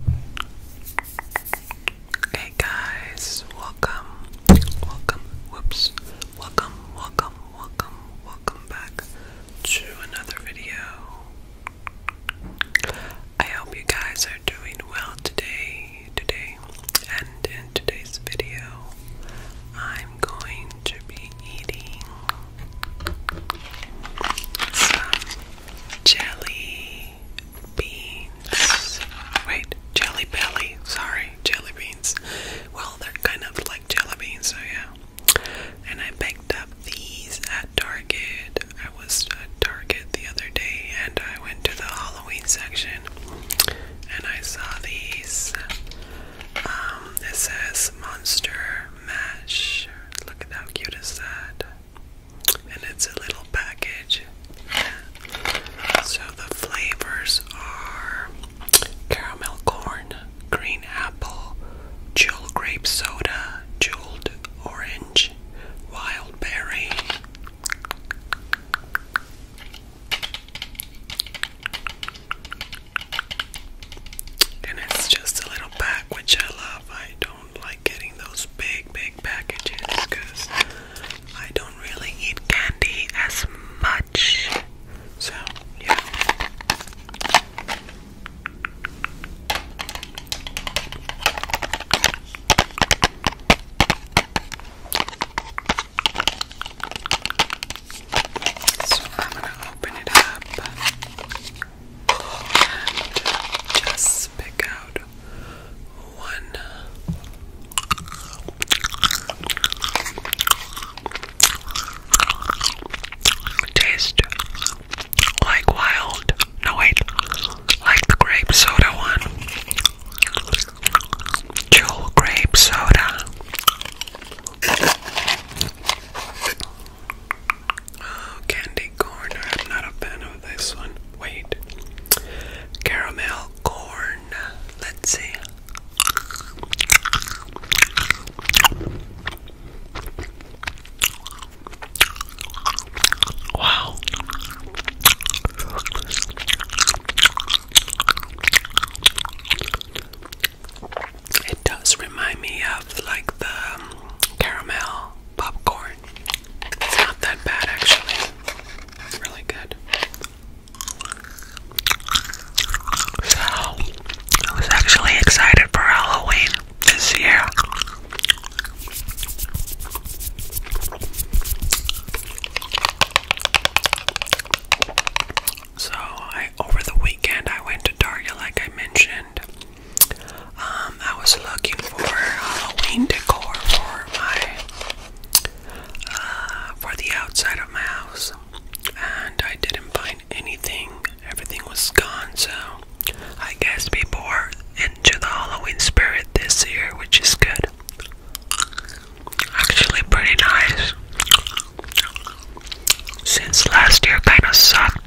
Hey guys, welcome, welcome, whoops, welcome, welcome, welcome, welcome back to another video. I hope you guys are doing well today, today, and in today's video, I'm going to be eating some jelly jelly beans. Wait, jelly belly. Sorry, jelly beans. Well, they're kind of like jelly beans, so yeah. And I picked up these at Target. I was at Target the other day and I went to the Halloween section and I saw these. Um, it says Monster Mash. Look at how cute is that and it's a little package. So the flavors are caramel corn, green apple, jewel grape soda, jeweled orange, wild berry. And it's just a little pack, I love. I don't like getting those big, big packages I don't really eat candy as much. So, yeah. So I'm gonna open it up just pick out one. Taste like wild. No, wait, like the grape soda one. Jewel grape soda. Oh, candy corn. I'm not a fan of this one. Wait. Caramel corn. Let's see. Wow. It does remind me of like the um, caramel popcorn. It's not that bad actually. It's really good. So, I was actually excited for Halloween this year. So, over the weekend I went to Target like I mentioned. Um, I was looking for Halloween decor for my uh, for the outside of my house, and I didn't find anything. Everything was gone, so I guess people are into the Halloween spirit this year, which is good. Actually, pretty nice. Since last year kind of sucked.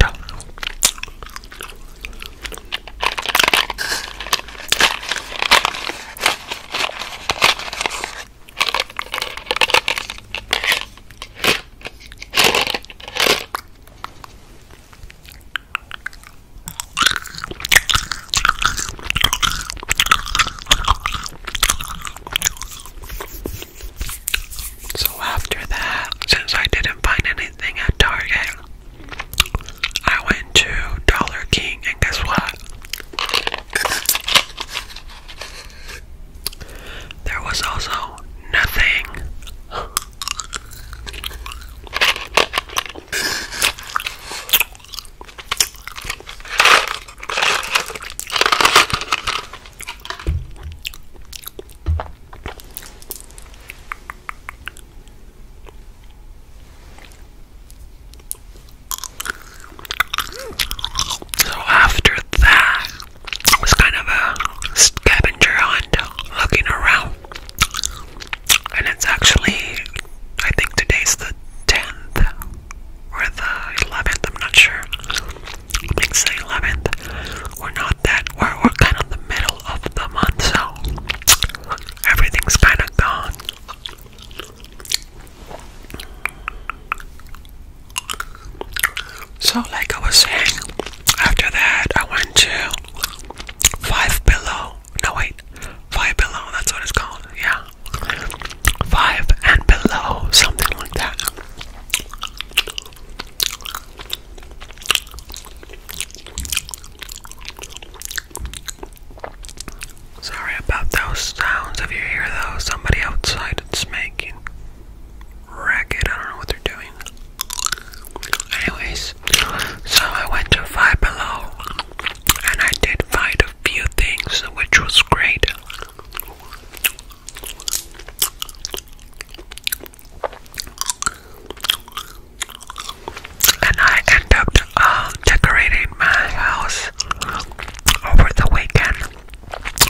So after that, since I didn't find anything at Target, I went to Dollar King, and guess what? There was also nothing. So after that, it was kind of a scavenger hunt looking around. And it's actually, I think today's the 10th or the 11th, I'm not sure. I think it's the 11th. Or no, that. We're, we're kind of the middle of the month, so everything's kind of gone. So, like I was saying, after that I went to Five Below. No, wait, Five Below, that's what it's called, yeah. Five and Below, something like that. Sorry about those sounds. If you hear those, somebody outside is making racket. I don't know what they're doing. Anyways, so I went to Five Below and I did find a few things, which was great. And I end up uh, decorating my house over the weekend,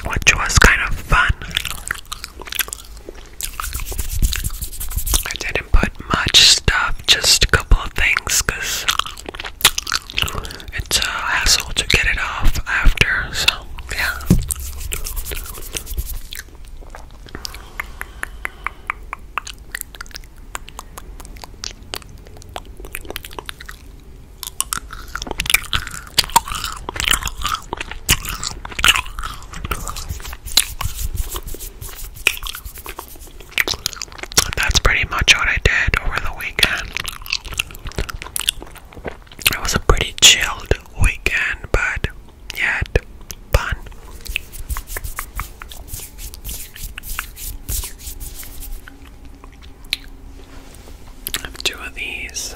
which was kind of fun. I didn't put much stuff, just a couple of things, because it's a hassle to get it off after, so yeah. That's pretty much what I did over the weekend. It was a pretty chilled weekend, but yet. Fun. two of these.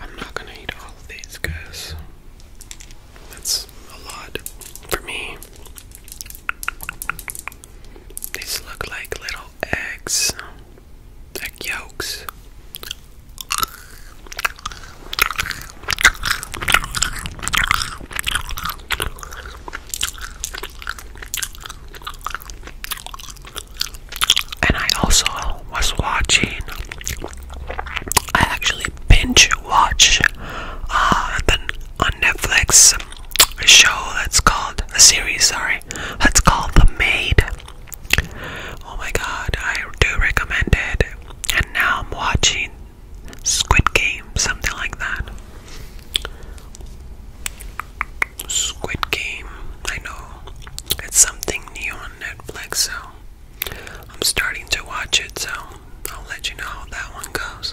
I'm not gonna eat all of these guys. That's a lot for me. These look like little eggs, egg yolks. And I also was watching, I actually binge watch uh, the, on Netflix a show that's called, a series, sorry, that's called The Maid. Oh my god, I do recommend it. And now I'm watching Squid Game, something like that. Squid Game. I know it's something new on Netflix, so I'm starting to watch it. So I'll let you know how that one goes.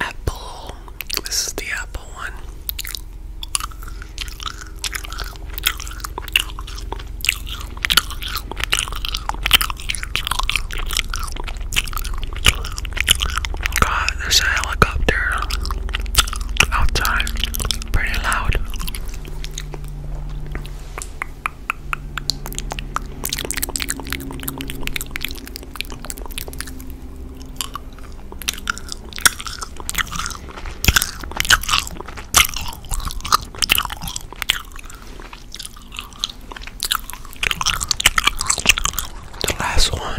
Apple. This is the apple. God, there's a helicopter outside, pretty loud. The last one.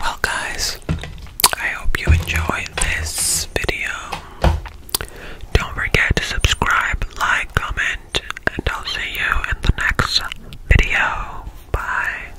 Well, guys, I hope you enjoyed this video. Don't forget to subscribe, like, comment, and I'll see you in the next video. Bye.